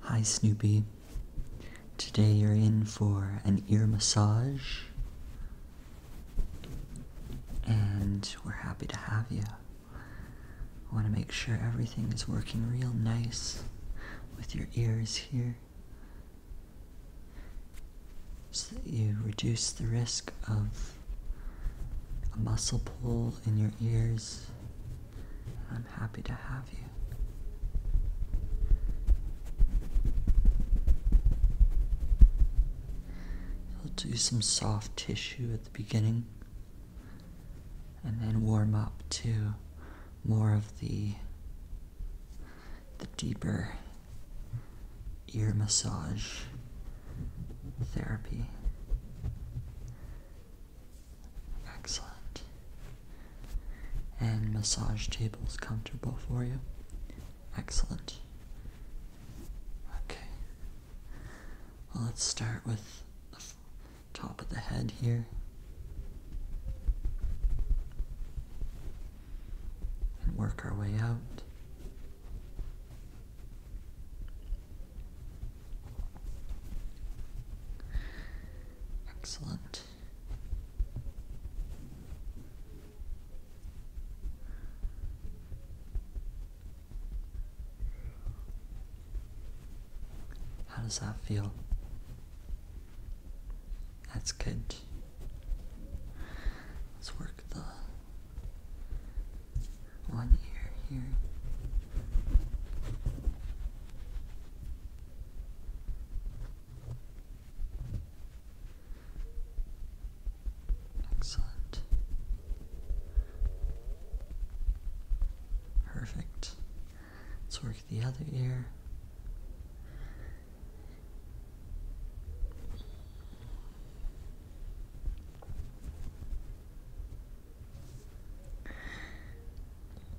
Hi, Snoopy. Today you're in for an ear massage, and we're happy to have you. I want to make sure everything is working real nice with your ears here so that you reduce the risk of a muscle pull in your ears I'm happy to have you. i will do some soft tissue at the beginning and then warm up to more of the the deeper ear massage therapy Excellent. And massage tables comfortable for you? Excellent. Okay. Well, let's start with the top of the head here. And work our way out. Excellent. How does that feel? That's good. Let's work the one ear here. Excellent. Perfect. Let's work the other ear.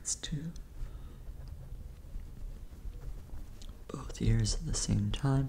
It's two. Both ears at the same time.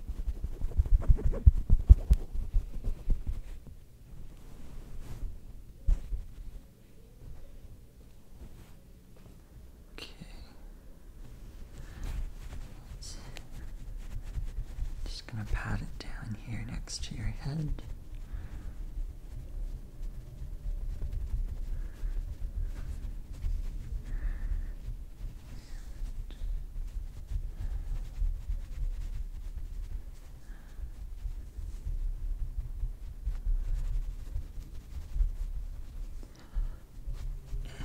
Okay. just going to pat it down here next to your head.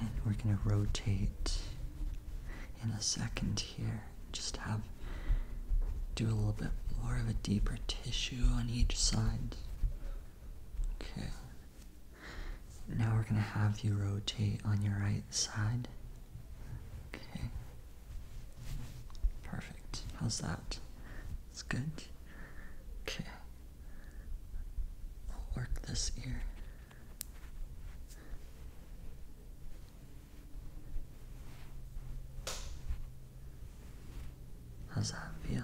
And we're going to rotate in a second here. Just have do a little bit more of a deeper tissue on each side. Okay. Now we're going to have you rotate on your right side. Okay. Perfect. How's that? It's good. Okay. I'll work this ear. How's that feel?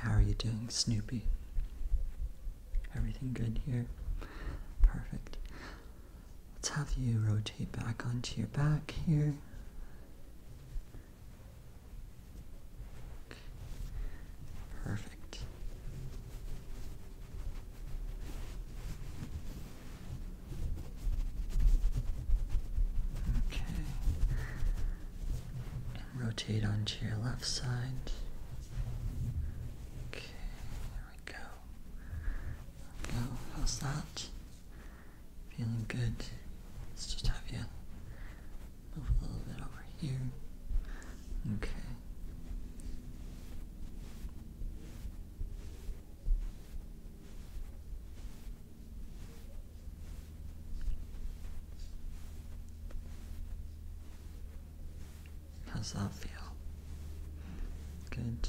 How are you doing, Snoopy? Everything good here? Perfect. Let's have you rotate back onto your back here. Perfect. Okay rotate onto your left side. Okay, there we go. go. How's that? Feeling good. Let's just have you move a little bit over here. Okay. How's that feel? Good.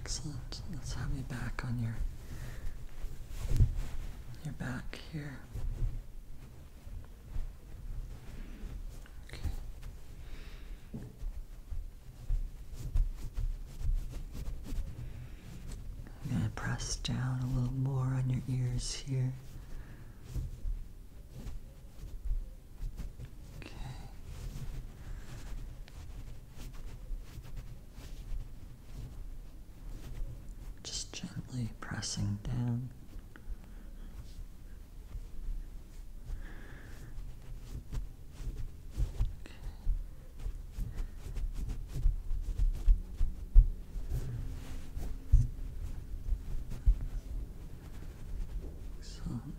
Excellent. Let's have me back on your your back here. Okay. I'm going to press down a little more on your ears here. Just gently pressing down. Okay.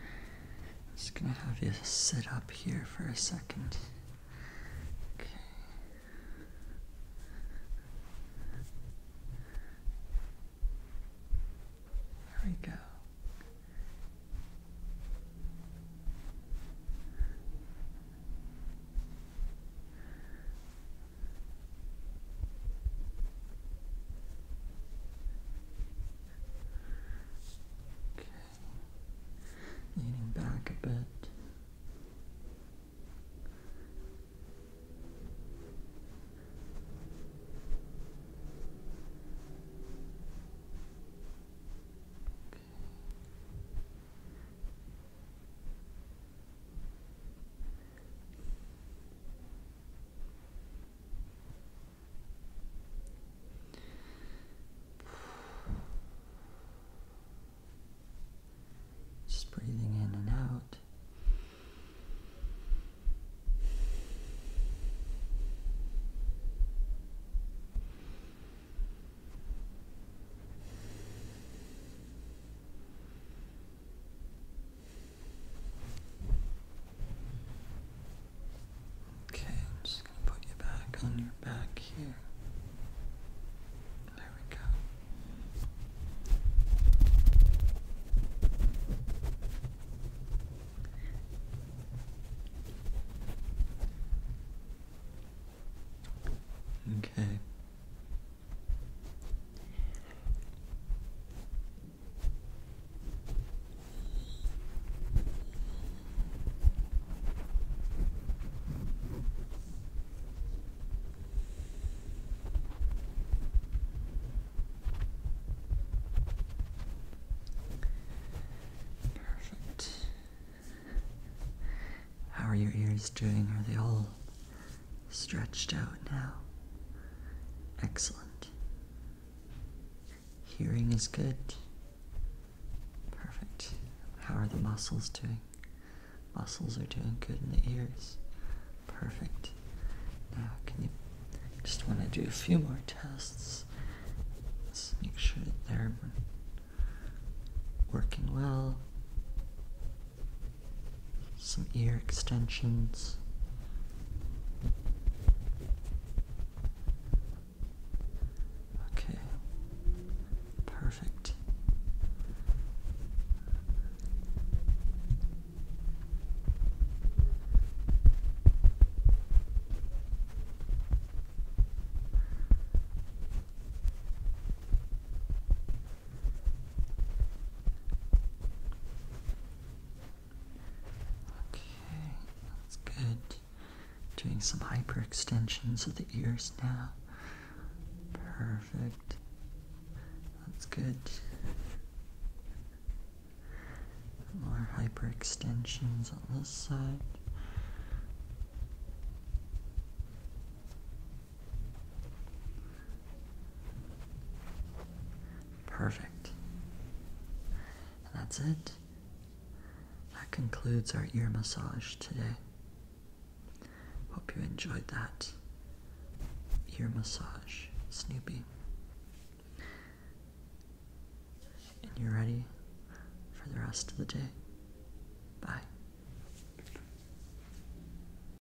I'm just gonna have you sit up here for a second. Okay. There we go. Okay. Leaning back a bit. Just breathing in and out. Okay, I'm just going to put you back on your back here. There we go. Okay, Perfect. How are your ears doing? Are they all stretched out now. Excellent. Hearing is good. Perfect. How are the muscles doing? Muscles are doing good in the ears. Perfect. Now, can you just want to do a few more tests? Let's make sure that they're working well some ear extensions. Okay, perfect. Okay, that's good. Doing some hyperextensions of the ears now. Perfect. That's good. More hyperextensions on this side. Perfect. that's it. That concludes our ear massage today. Hope you enjoyed that ear massage, Snoopy. And you're ready for the rest of the day. Bye.